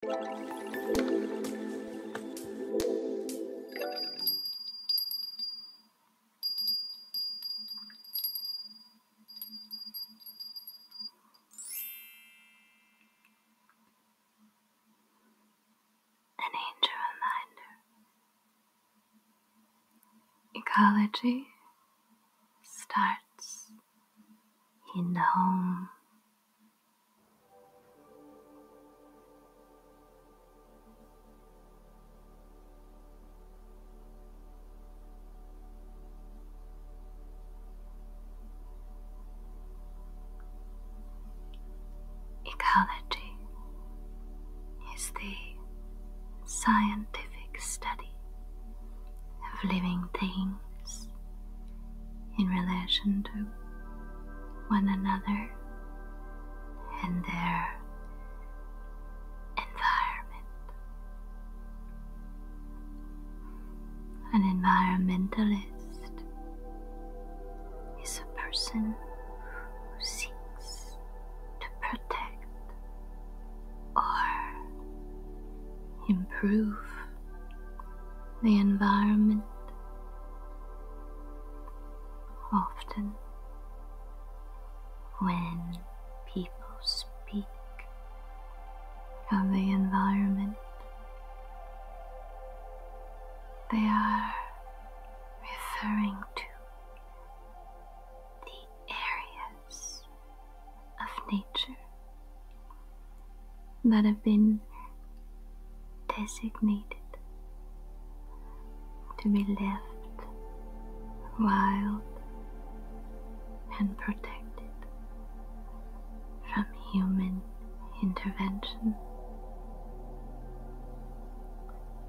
An angel reminder. Ecology starts in the home. Ecology is the scientific study of living things in relation to one another and their environment. An environmentalist is a person who seeks to protect or improve the environment. Often, when people speak of the environment, they are referring to the areas of nature that have been designated to be left wild and protected from human intervention.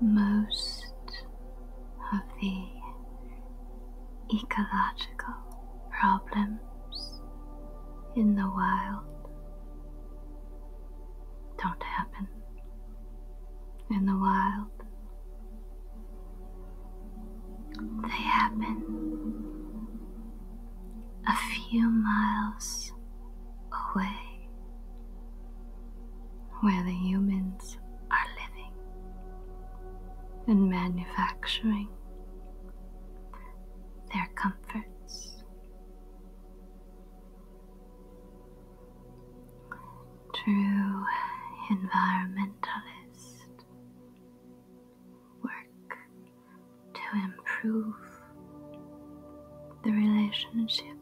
Most of the ecological problems in the wild don't happen in the wild. They happen a few miles away where the humans are living and manufacturing their comforts. True environmentalist work to improve the relationship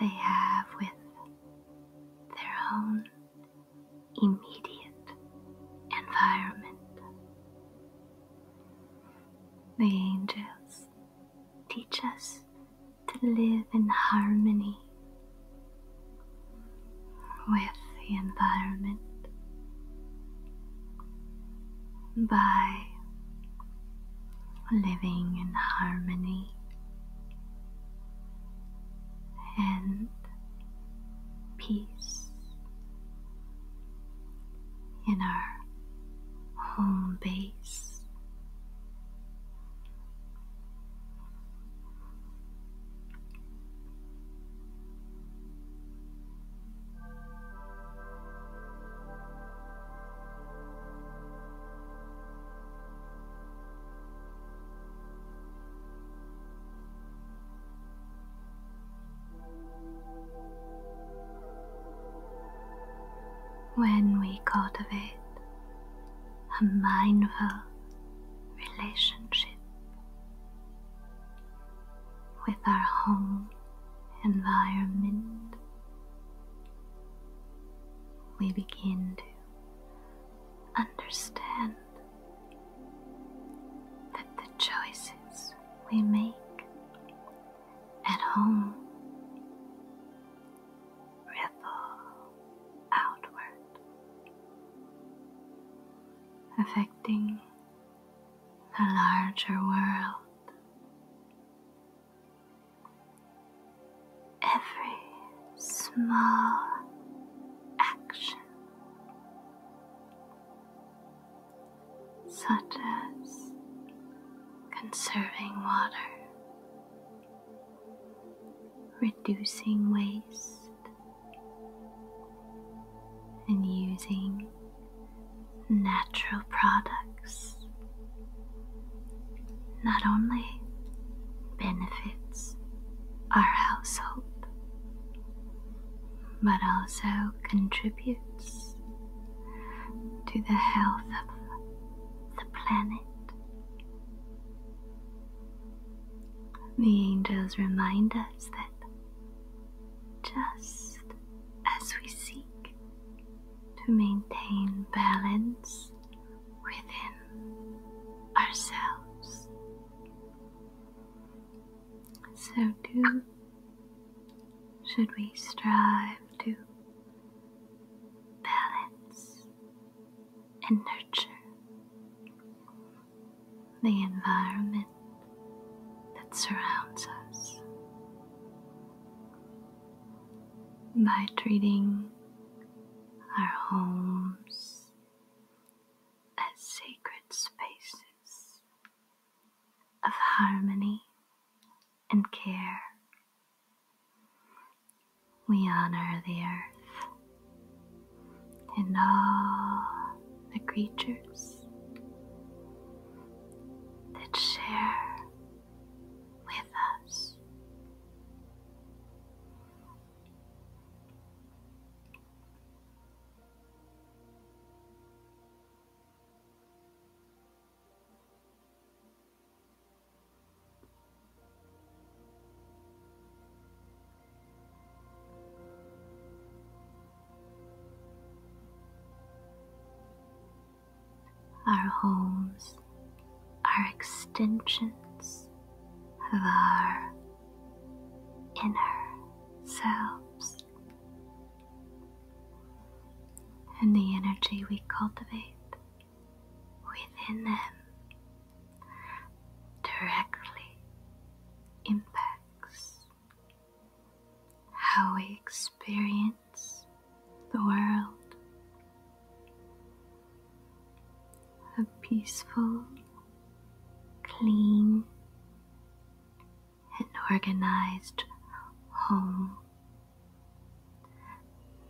they have with their own immediate environment. The angels teach us to live in harmony with the environment by living in harmony and peace in our home base. When we cultivate a mindful relationship with our home environment, we begin to understand that the choices we make at home ripple outward, affecting the larger world. Every small action such as conserving water, reducing waste, and using natural products not only benefits our household but also contributes to the health of the planet. The angels remind us that just as we seek to maintain balance within ourselves, so too should we strive to balance and nurture the environment that surrounds us by treating our homes as sacred spaces of harmony and care. We honor the earth and all the creatures that share with us. Our homes are extensions of our inner selves. And the energy we cultivate within them directly impacts how we experience the world a peaceful, clean, and organized home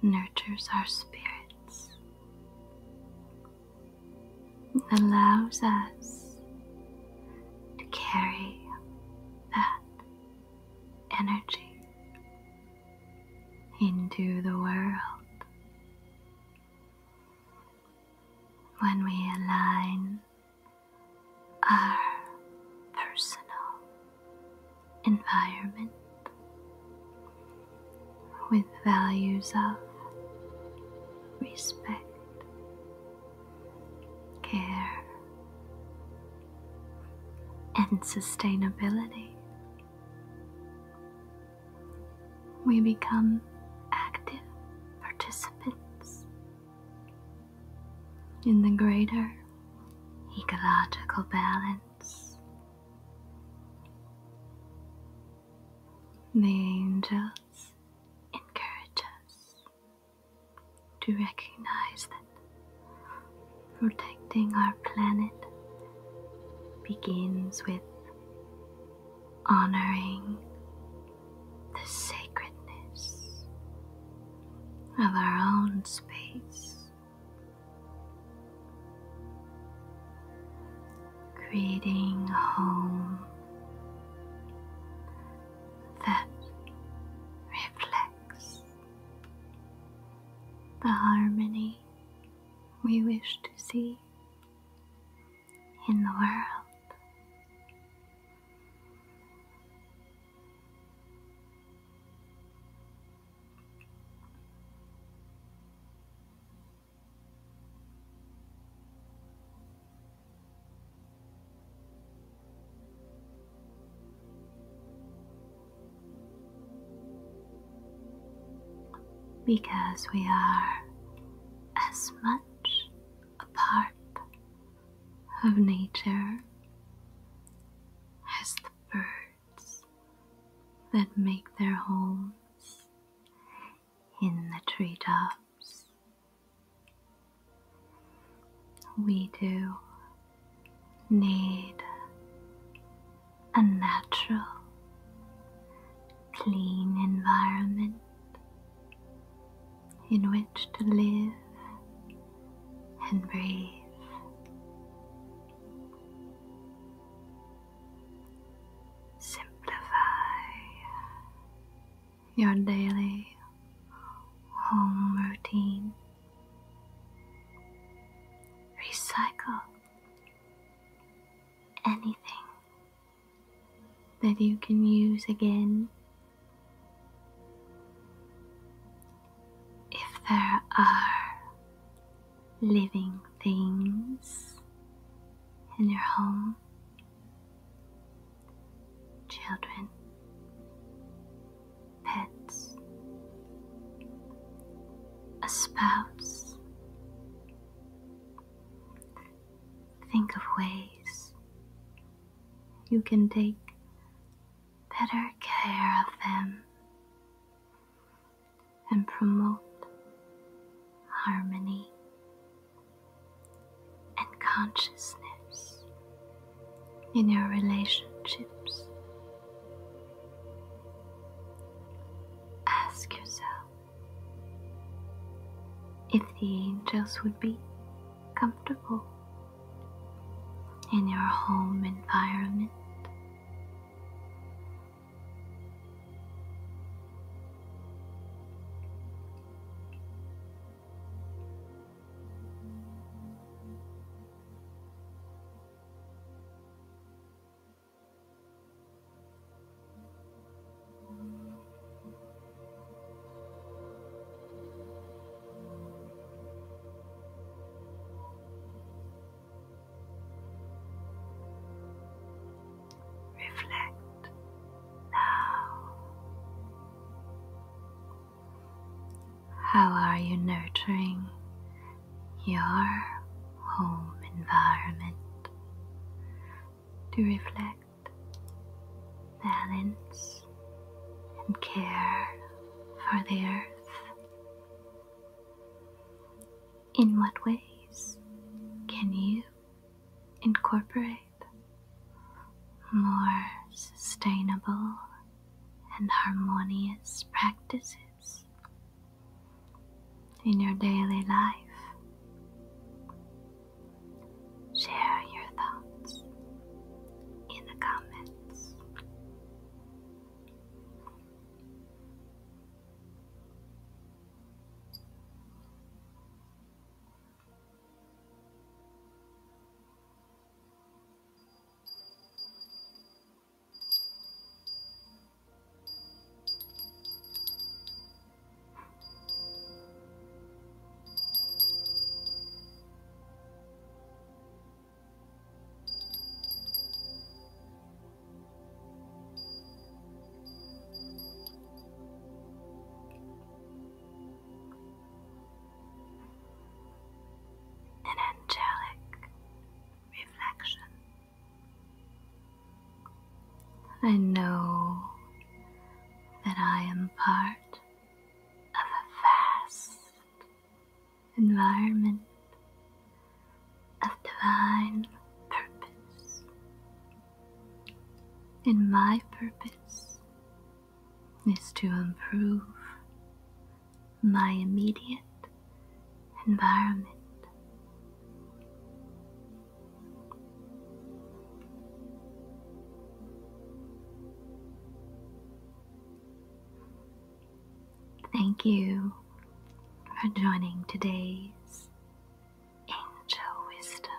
nurtures our spirits, allows us to carry that energy into the world when we align our personal environment with values of respect, care, and sustainability we become active participants in the greater ecological balance. The angels encourage us to recognize that protecting our planet begins with honoring the sacredness of our own space. Creating home that reflects the harmony we wish to see in the world because we are as much a part of nature as the birds that make their homes in the treetops. We do need a natural, clean environment in which to live and breathe. Simplify your daily home routine. Recycle anything that you can use again. If there are living things in your home, children, pets, a spouse, Think of ways you can take better care of them and promote harmony and consciousness in your relationships Ask yourself if the angels would be comfortable in your home environment. Reflect now. How are you nurturing your home environment to reflect balance and care for the earth. In what ways can you incorporate more sustainable and harmonious practices in your daily life. Share your thoughts in the comments. An angelic reflection. I know that I am part of a vast environment of divine purpose. And my purpose is to improve my immediate environment. Thank you for joining today's Angel Wisdom.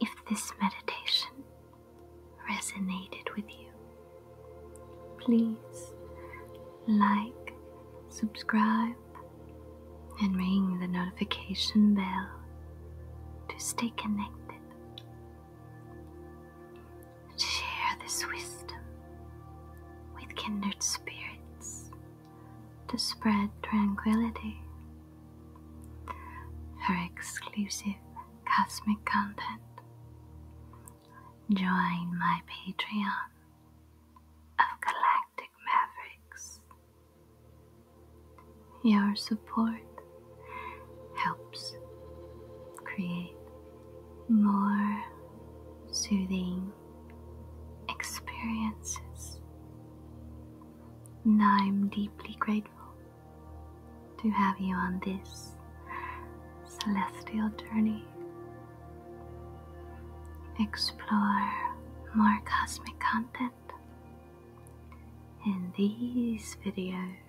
If this meditation resonated with you, Please like, subscribe, and ring the notification bell to stay connected. Share this wisdom with kindred spirits to spread tranquility. Her exclusive cosmic content join my Patreon of Galactic Mavericks. Your support helps create more soothing experiences, and I'm deeply grateful to have you on this celestial journey. Explore more cosmic content in these videos.